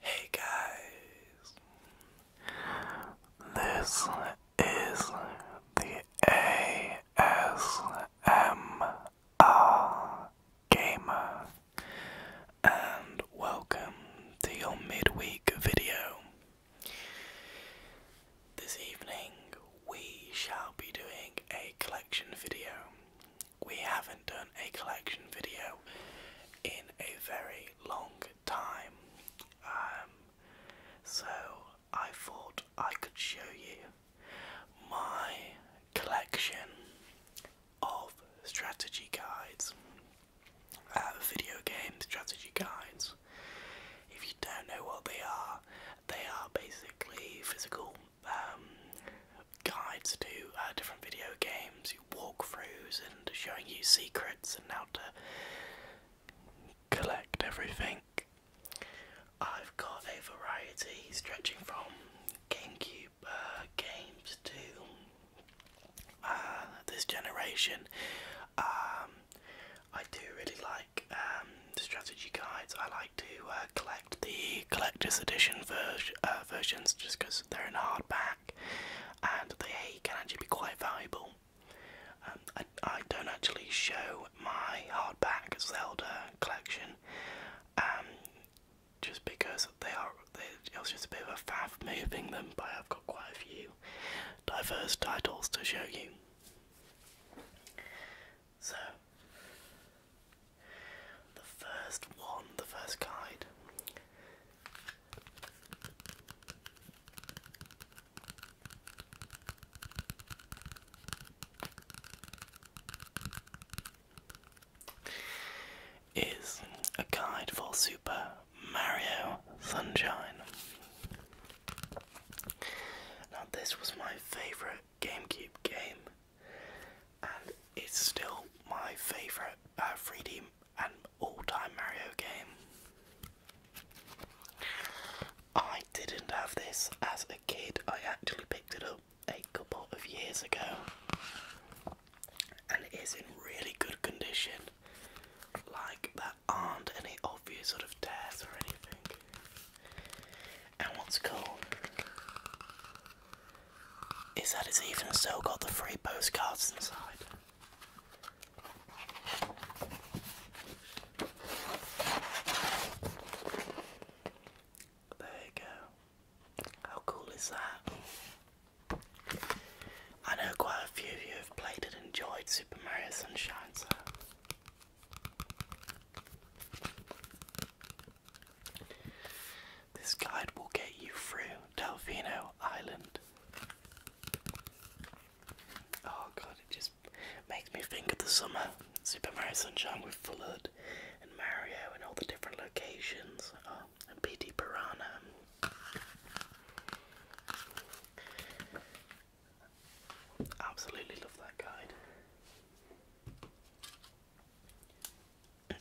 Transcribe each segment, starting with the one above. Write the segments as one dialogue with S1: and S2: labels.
S1: Hey guys, this is the ASMR Gamer, and welcome to your midweek video. This evening we shall be doing a collection video. We haven't done a collection video in a very long time, um, so I thought I could show you my collection of strategy guides. Uh, video games strategy guides. If you don't know what they are, they are basically physical um, guides to uh, different video games, walkthroughs, and showing you secrets and how to collect everything. I've got a variety stretching from GameCube uh, games to this generation. Um, I do really like um, the strategy guides. I like to uh, collect the collector's edition uh, versions just because they're in hardback and they can actually be quite valuable. Um, I, don't actually show my hardback Zelda collection um, just because they are, they, it was just a bit of a faff moving them, but I've got quite a few diverse titles to show you. So, the first one, the first guide. Is a guide for Super Mario Sunshine. Now, this was my favorite GameCube game, and it's still my favorite 3D uh, and all time Mario game. I didn't have this as a kid, I actually picked it up a couple of years ago, and it is in really good condition. Like, there aren't any obvious sort of tears or anything. And what's cool is that it's even still got the free postcards inside. There you go. How cool is that? I know quite a few of you have played and enjoyed Super Mario Sunshine, so this guide will get you through Delphino Island. Oh god, it just makes me think of the summer. Super Mario Sunshine with Flood and Mario and all the different locations. Oh, and P.D. Piranha Absolutely love that guide.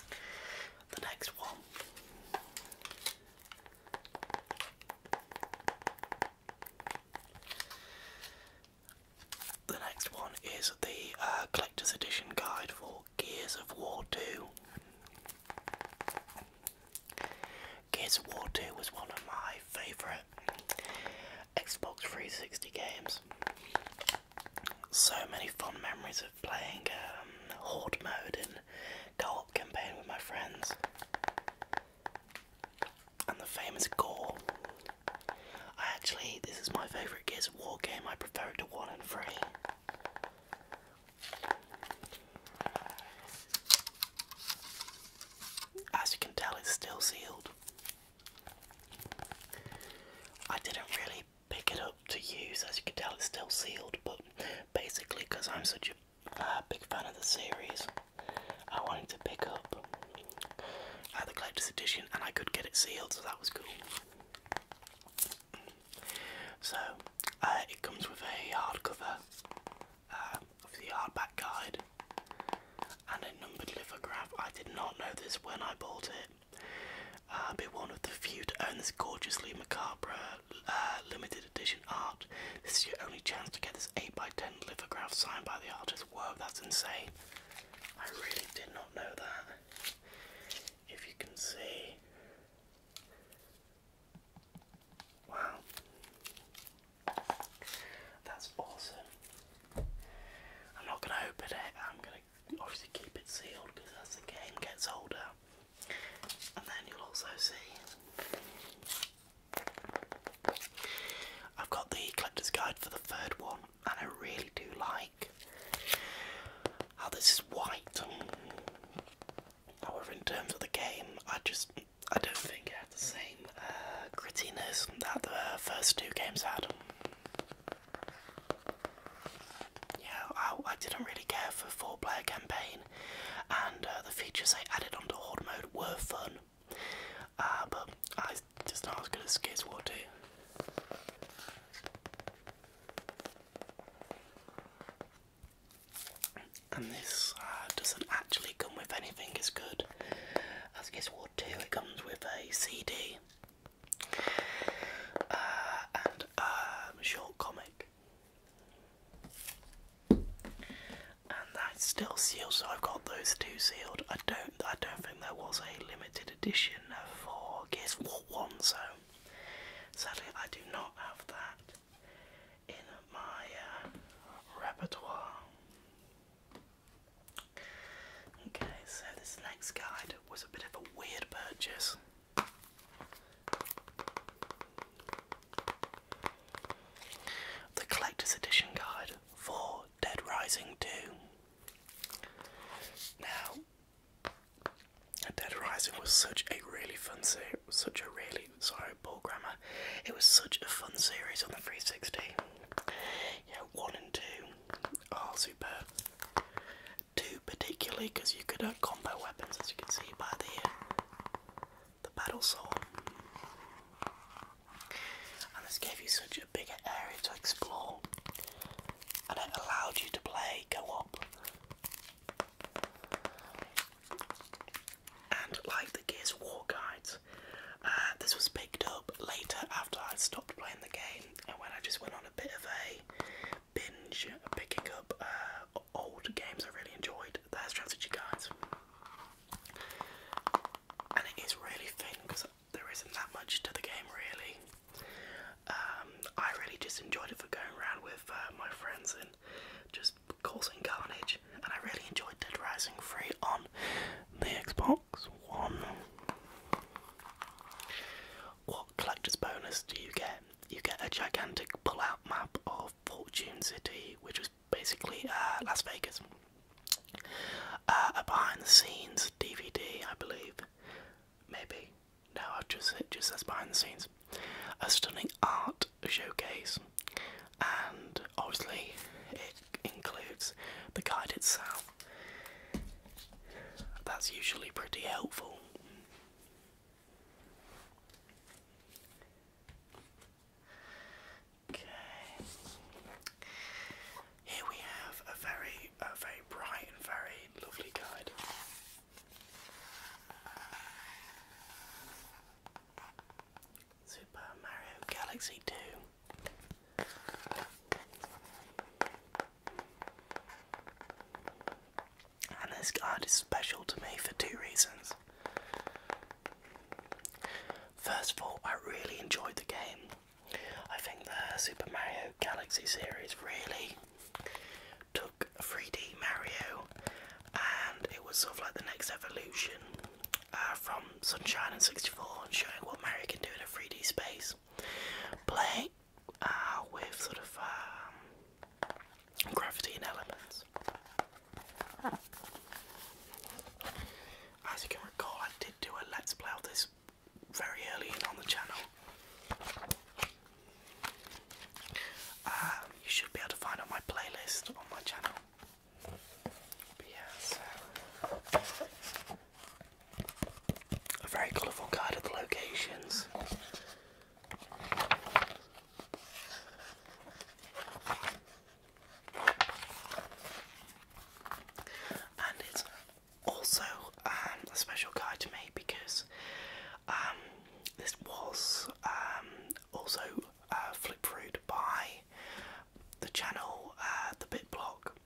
S1: the next one. The next one is the uh, collector's edition guide for Gears of War 2. Gears of War 2 was one of my favourite Xbox 360 games. So many fond memories of playing um, Horde mode in co-op campaign with my friends. And the famous gore. I actually, this is my favourite Gears of War game. I prefer it to 1 and 3. As you can tell, it's still sealed. I didn't really pick it up to use, as you can tell, it's still sealed, but basically, because I'm such a big fan of the series, I wanted to pick up the collector's edition and I could get it sealed, so that was cool. So, uh, it comes with a hardcover uh, of the hardback guide and a numbered lithograph. I did not know this when I bought it. I'll uh, be one of the few to own this gorgeously macabre uh, limited edition art. This is your only chance to get this 8x10 lithograph signed by the artist. Whoa, that's insane. I really did not know that. If you can see, Wow. That's awesome. I'm not going to open it, I'm going to obviously keep it sealed because as the game gets older, and then you'll also see. I've got the collector's guide for the third one, and I really do like how this is white. However, in terms of the game, I just I don't think it had the same uh, grittiness that the first two games had. Yeah, I, I didn't really care for four-player campaign, and uh, the features they added onto horde mode were fun, uh, but I just not as good as Gears War 2. And this uh, doesn't actually come with anything as good as Guess What 2. It comes with a CD uh, and um, a short comic. And that's still sealed, so I've got those two sealed. I don't, I don't think there was a limited edition for Guess What One, so sadly I do not have that in my uh, repertoire. Okay, so this next guide was a bit of a weird purchase. The Collector's Edition Guide for Dead Rising 2. Now, Dead Rising was such a really fun series such a really sorry ball grammar. It was such a fun series on the 360. Yeah, one and two are oh, superb. Two particularly because you could uh, combo weapons, as you can see by the uh, the battle sword. And this gave you such a bigger area to explore, and it allowed you to play co-op. And like the Gears War guides, uh, this was picked up later after I stopped playing the game and when I just went on a bit of a binge picking up uh, old games I really enjoyed. There's strategy guides, and it is really thin because there isn't that much to the game really. Um, I really just enjoyed it for going around with uh, my friends and just causing carnage, and I really enjoyed Dead Rising 3 on the Xbox One. What collector's bonus do you get? You get a gigantic pull-out map of Fortune City, which was basically uh, Las Vegas. Uh, a behind-the-scenes DVD, I believe. Maybe. No, I just just says behind the scenes. A stunning art showcase, and obviously, it includes the guide itself. That's usually pretty helpful. Okay. Here we have a very, a very bright and very lovely guide. Super Mario Galaxy 2. And this card is special to me for two reasons. First of all, I really enjoyed the game. I think the Super Mario Galaxy series really took 3D Mario and it was sort of like the next evolution uh, from Sunshine and 64 and showing what Mario can do in a 3D space. play uh, with sort of um, gravity and elements. As you can recall, I did do a let's play of this very early on the channel. Um, you should be able to find on my playlist on my channel. yeah, so a very colourful guide of the locations. And it's also um, a special card to me because um, this was um, also uh, flip through by the channel, uh, the bit block,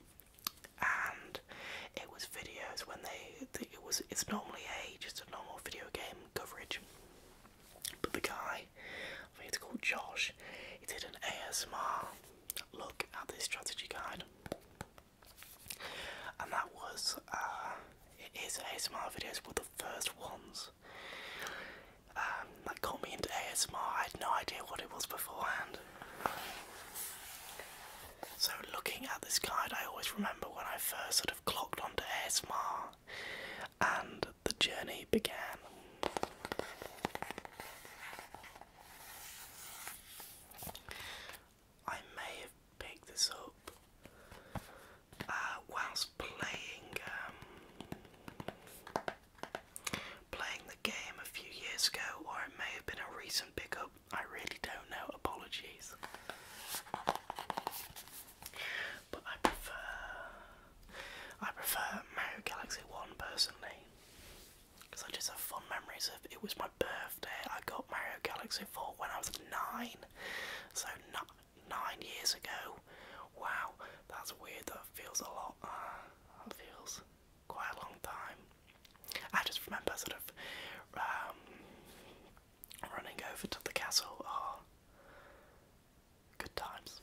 S1: and it was videos when they, they it was it's normally a just a normal video game coverage, but the guy, I think it's called Josh, he did an ASMR look at this strategy guide, and that was uh, his ASMR videos were the first ones um, that got me into ASMR. I had no idea what it was beforehand. So, looking at this guide, I always remember when I first sort of clocked onto ASMR and the journey began. I may have picked this up uh, whilst playing um, playing the game a few years ago, or it may have been a recent pickup. I really don't know. Apologies, but I prefer I prefer Mario Galaxy One personally because I just have fond memories of it. Was my birthday? I got Mario Galaxy Four when I was nine, so not nine years ago. Wow, that's weird. That feels a lot. Uh, that feels quite a long time. I just remember sort of um, running over to the castle. Oh, good times.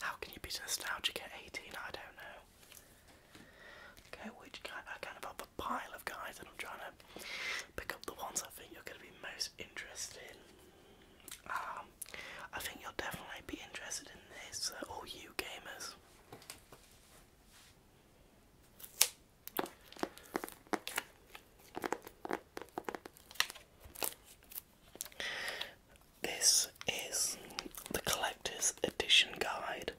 S1: How can you be nostalgic at 18? I don't know. Okay, which kind, I uh, kind of pile of guys and I'm trying to pick up the ones I think you're going to be most interested in. Um, I think you'll definitely be interested in this, uh, all you gamers. This is the collector's edition guide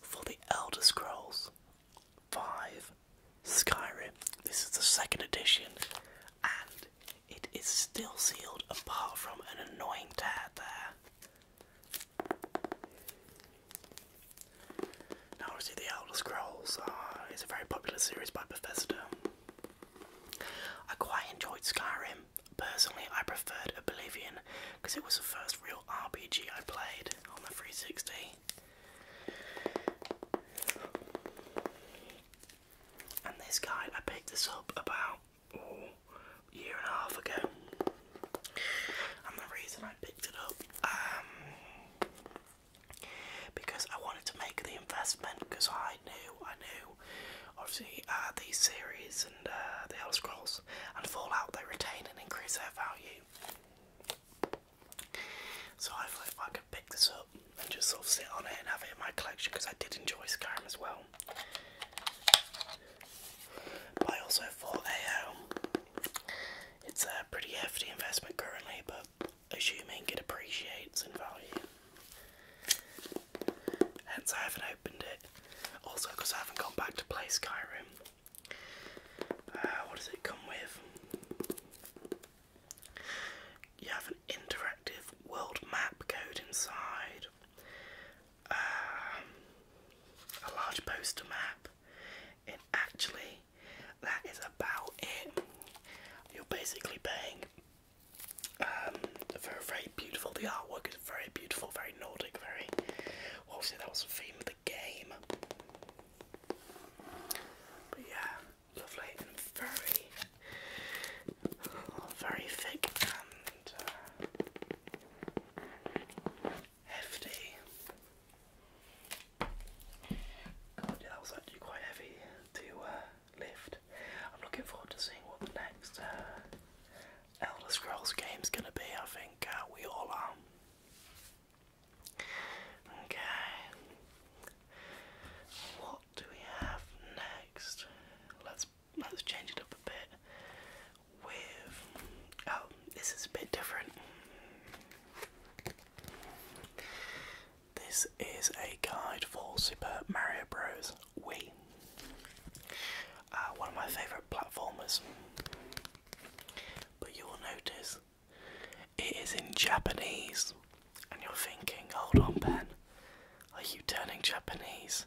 S1: for the Elder Scrolls 5 Skyrim. This is the second edition and it is still sealed apart from an annoying tab there. Now obviously the Elder Scrolls uh, is a very popular series by Bethesda. I quite enjoyed Skyrim. Personally I preferred Oblivion because it was the first real RPG I played on the 360. And this guy, I picked this up about a year and a half ago. And the reason I picked it up, um, because I wanted to make the investment because I knew, I knew, obviously uh, these series and uh, the Elder Scrolls and Fallout, they retain and increase their value. So hopefully if I can pick this up and just sort of sit on it and have it in my collection because I did enjoy Skyrim as well. I also thought, hey, um, it's a pretty hefty investment currently, but assuming it appreciates in value. Hence I haven't opened it. Also because I haven't gone back to play Skyrim. Uh, what does it come with? You have an interactive world map code inside, uh, a large poster map, and actually, that is about it. You're basically paying um, for a very beautiful, the artwork is very beautiful, very Nordic, very. obviously, that was the theme of the game. But yeah, lovely and very, oh, very thick and uh, hefty. God, yeah, that was actually quite heavy to uh, lift. I'm looking forward to seeing what the next uh, Elder Scrolls game is gonna be. I think we all are. Okay. What do we have next? Let's let's change it up a bit. With oh, this is a bit different. This is a guide for Super Mario Bros. Wii. Uh, one of my favourite platformers. But you will notice it is in Japanese. And you're thinking, hold on, Ben, are you turning Japanese?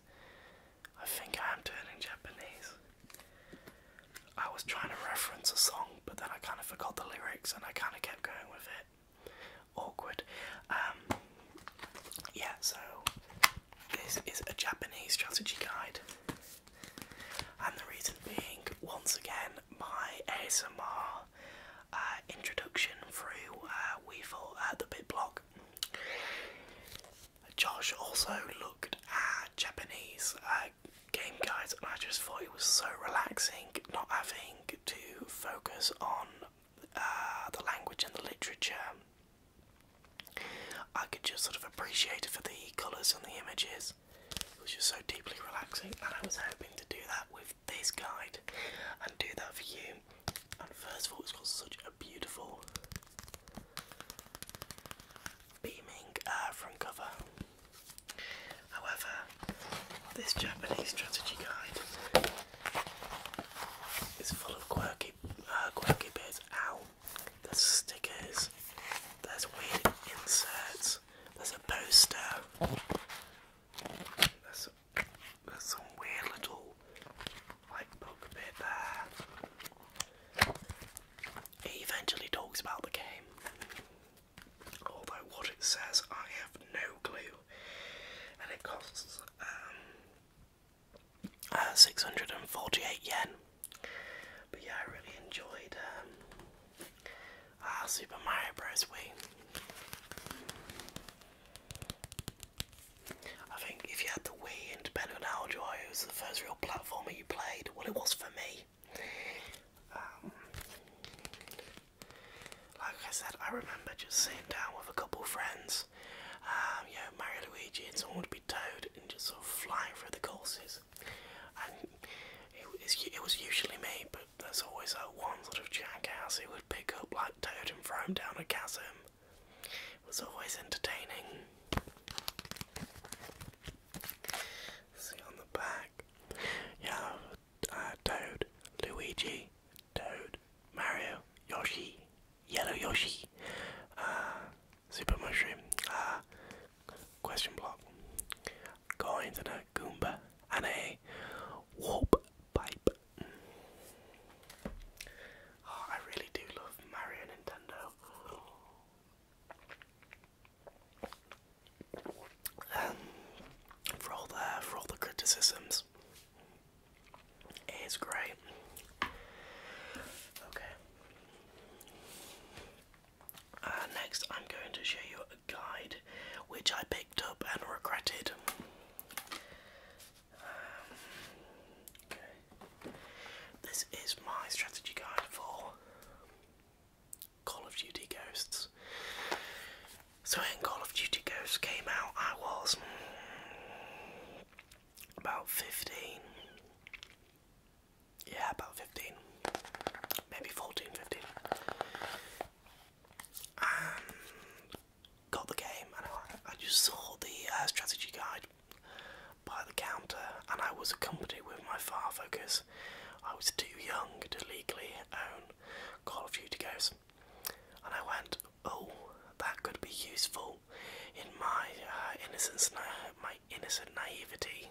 S1: I think I am turning Japanese. I was trying to reference a song, but then I kind of forgot the lyrics and I kind of kept going with it. Awkward. Um, yeah, so this is a Japanese strategy guide. And the reason being, once again, my ASMR uh, introduction through uh, at the Bit Block. Josh also looked at Japanese uh, game guides, and I just thought it was so relaxing not having to focus on uh, the language and the literature. I could just sort of appreciate it for the colours and the images. It was just so deeply relaxing, and I was hoping to do that with this guide and do that for you. And first of all, it's got such a beautiful beaming uh, front cover. However, this Japanese strategy guide is full of quirky, uh, quirky bits. Ow! There's stickers. There's weird inserts there's a poster. There's, some weird little like book bit there. eventually talks about the game, although what it says I have no clue, and it costs um, uh, 648 yen. But yeah, I really enjoyed um, ah, Super Mario Bros. Wii. I think if you had the Wii, and depending on how old it was the first real platformer you played. Well, it was for me. Um, like I said, I remember just sitting down with a couple friends, um, you know, Mario Luigi, and someone would be Toad, and just sort of flying through the courses it, was usually me, but there's always that one sort of jackass who would pick up like Toad and throw him down a chasm. It was always entertaining. See on the back. Yeah, uh, Toad, Luigi, Toad, Mario, Yoshi, Yellow Yoshi, uh, Super Mushroom, uh, Question Block, coins and a goomba and a warp pipe. Mm. Oh, I really do love Mario Nintendo. Um, for all the for all the criticisms, it is great. Okay. Uh, next, I'm going to show you a guide which I picked up and regretted. Um, okay. This is my strategy guide for Call of Duty Ghosts. So, when Call of Duty Ghosts came out, I was about 15 yeah, about 15, maybe 14, 15. got the game, and I, just saw the uh, strategy guide by the counter, and I was accompanied with my father because I was too young to legally own Call of Duty Ghosts, and I went, oh, that could be useful in my uh, innocence, na my innocent naivety.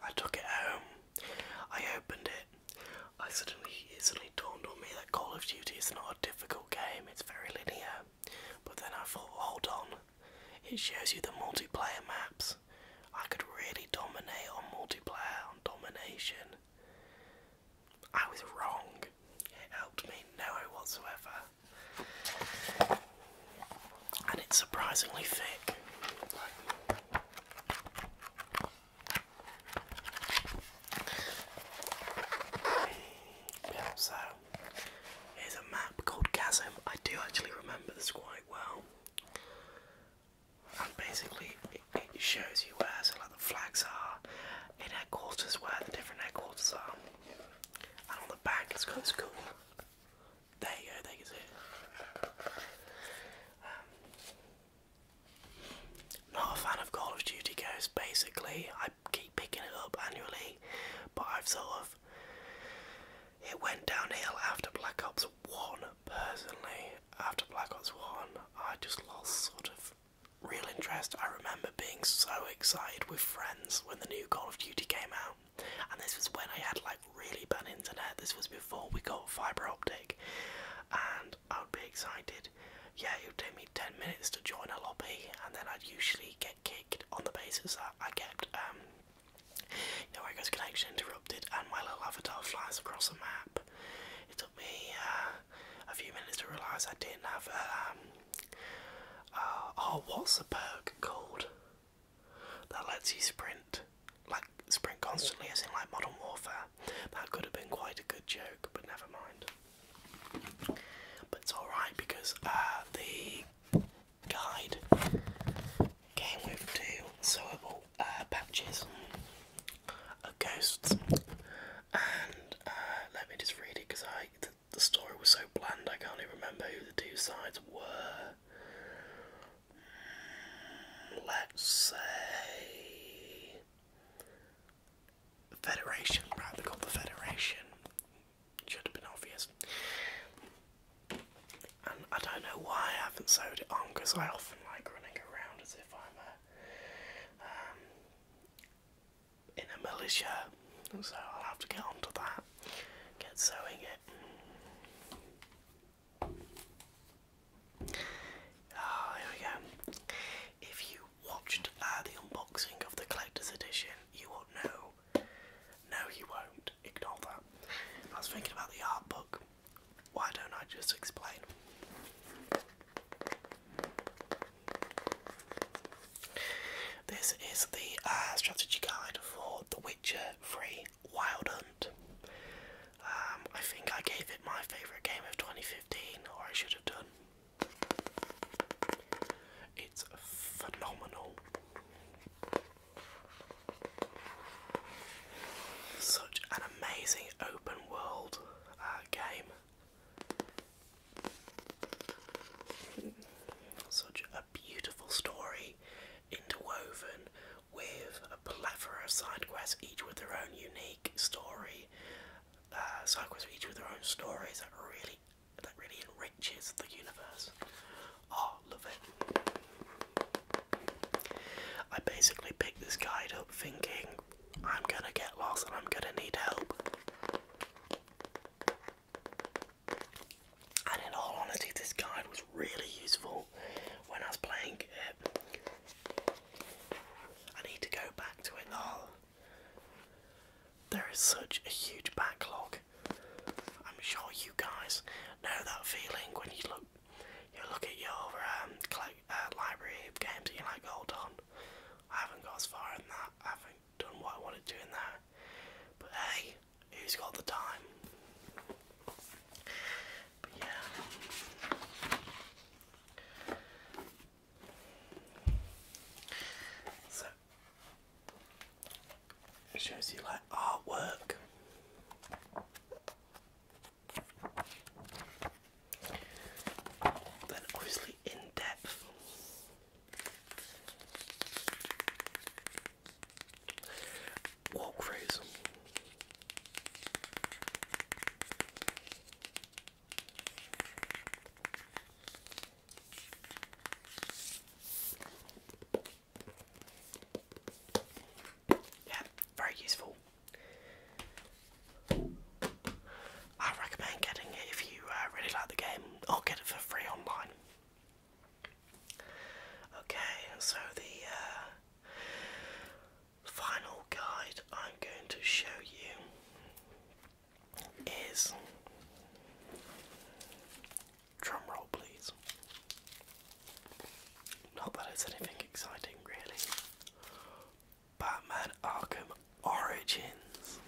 S1: I took it home. I opened it. I suddenly it dawned on me that Call of Duty is not a difficult game, it's very linear. But then I thought, hold on, it shows you the multiplayer maps. I could really dominate on multiplayer, on domination. I was wrong. It helped me no whatsoever and it's surprisingly thick. so here's a map called Chasm. I do actually remember this quite well. And basically, it, shows you where so like the flags are headquarters, where the different headquarters are, and on the back it's cool there you go, there you go. not a fan of Call of Duty Ghosts, basically. I keep picking it up annually, but I've sort of. It went downhill after Black Ops 1, personally. After Black Ops 1, I just lost sort of real interest. I remember being so excited with friends when the new Call of Duty came out and this was when I had like really bad internet. This was before we got fiber optic, and I would be excited. Yeah, it would take me 10 minutes to join a lobby, and then I'd usually get kicked on the basis that I kept, um, you connection interrupted, and my little avatar flies across a map. It took me uh, a few minutes to realise I didn't have a, uh, um, uh, oh, what's a perk called? that lets you sprint, like sprint constantly, as in like Modern Warfare. That could have been quite a good joke, but never mind. But it's alright because uh, the guide came with two sewable uh, patches of ghosts, and uh, let me just read it because I the story was so bland I can't even remember who the two sides were. Let's say Federation, right? They called the Federation. Should have been obvious. And I don't know why I haven't sewed it on because I often like running around as if I'm a um, in a militia, so I'll have to get onto that get sewing it. Ah, here we go. If you watched uh, the unboxing of the collector's edition, you won't know. No, you won't. Ignore that. I was thinking about the art book. Why don't I just explain? This is the uh, strategy guide for The Witcher 3 Wild Hunt. Um, I think I gave it my favourite game of 2015, or I should have done. It's phenomenal. Such an amazing open world uh, game. Such a beautiful story interwoven with a plethora of side quests, each with their own unique story. Uh, side quests each with their own stories that really that really enriches the universe. Oh, love it. I basically picked this guide up thinking I'm gonna get lost and I'm gonna need help. And in all honesty, this guide was really useful when I was playing it. I need to go back to it all. There is such a huge backlog. I'm sure you guys know that feeling when you look, you look at your um, uh, library of games and you're like, hold on, I haven't got as far as that done what I wanted to in But hey, who's got the time? So shows you like artwork. Then obviously in depth Walk phrase. Yeah, very useful. I recommend getting it if you uh, really like the game, or get it for free online. Okay, so the uh, final guide I'm going to show you is drum roll, please. Not that it's anything exciting, really. Batman Arkham Origins.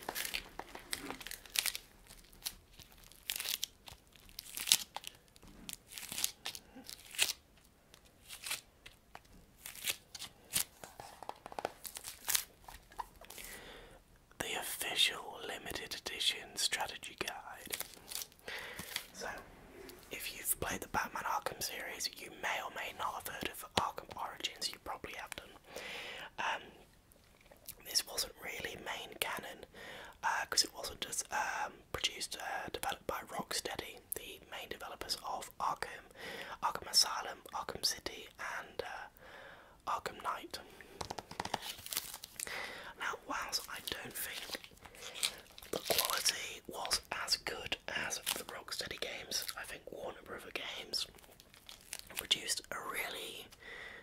S1: The official limited edition strategy guide. So, if you've played the Batman Arkham series, you may or may not have heard of Arkham Origins, you probably have done. Um, this wasn't really main canon because uh, it wasn't just um, produced, uh, developed by Rocksteady, the main developers of Arkham, Arkham Asylum, Arkham City, and uh, Arkham Knight. Now, whilst I don't think the quality was as good as the Rocksteady games, I think Warner Brother games produced a really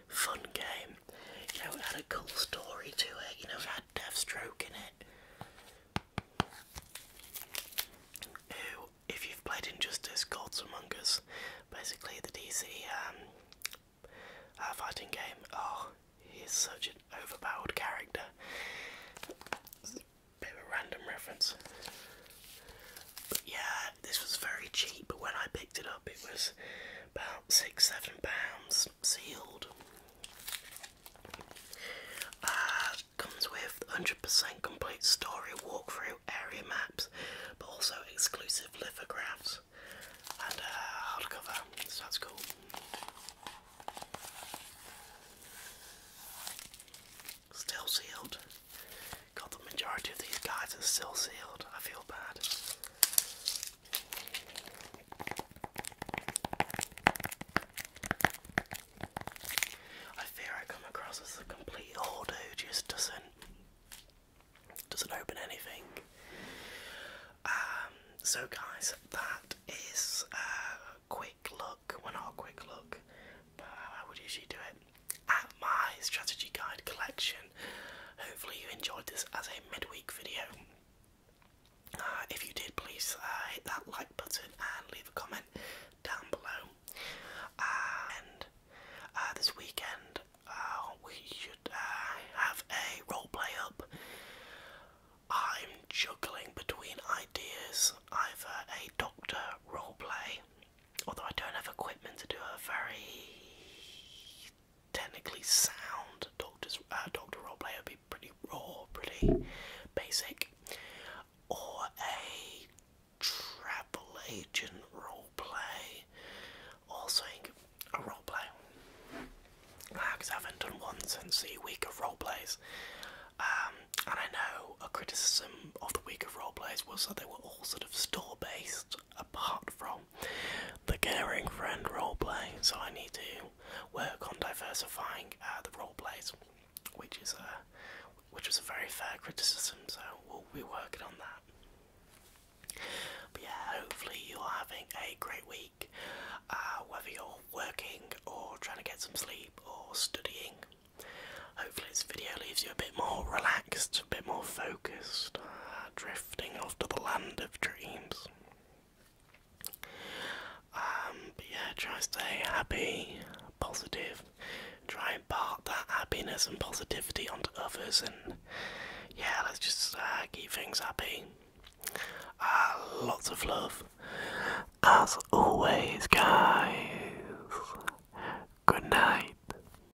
S1: fun game. You know, it a cool story to it, you know, it had Deathstroke in it. Who, if you've played Injustice Gods Among Us, basically the DC um, uh, fighting game, oh, he's such an overpowered character. bit of a random reference. But yeah, this was very cheap, but when I picked it up, it was about six, seven pounds sealed. Uh, comes with 100% complete story walkthrough area maps, but also exclusive lithographs and uh, hardcover, so that's cool. Still sealed. God, the majority of these guys are still sealed. I feel bad. I fear I come across as a complete hoarder who just doesn't doesn't open anything. Um, so guys, that is a quick look. Well, not quick look, but I would usually do it at my strategy guide collection. Hopefully, you enjoyed this as a midweek video. Uh, if you did, please uh, hit that like button and leave a comment down below. Uh, and this weekend, we should have a role play up. I'm juggling between ideas either a doctor role play although I don't have equipment to do a very technically sound doctor's uh, doctor roleplay, it'd be pretty raw, pretty basic, or a travel agent roleplay, or something a role play. uh, I haven't done one since the week of role plays, um, and I know a criticism of the week of role plays was that they were all sort of store based, apart from the caring friend roleplay. So I need to work on diversifying uh, the role plays, which is a which was a very fair criticism. So we'll be working on that. But yeah, hopefully you're having a great week, uh, whether you're working or trying to get some sleep or studying. Hopefully, this video leaves you a bit more relaxed a bit more focused, uh, drifting off to the land of dreams. Um, but yeah, try to stay happy, positive, try and part that happiness and positivity onto others, and yeah, let's just uh, keep things happy. Uh, lots of love, as always, guys. Good night.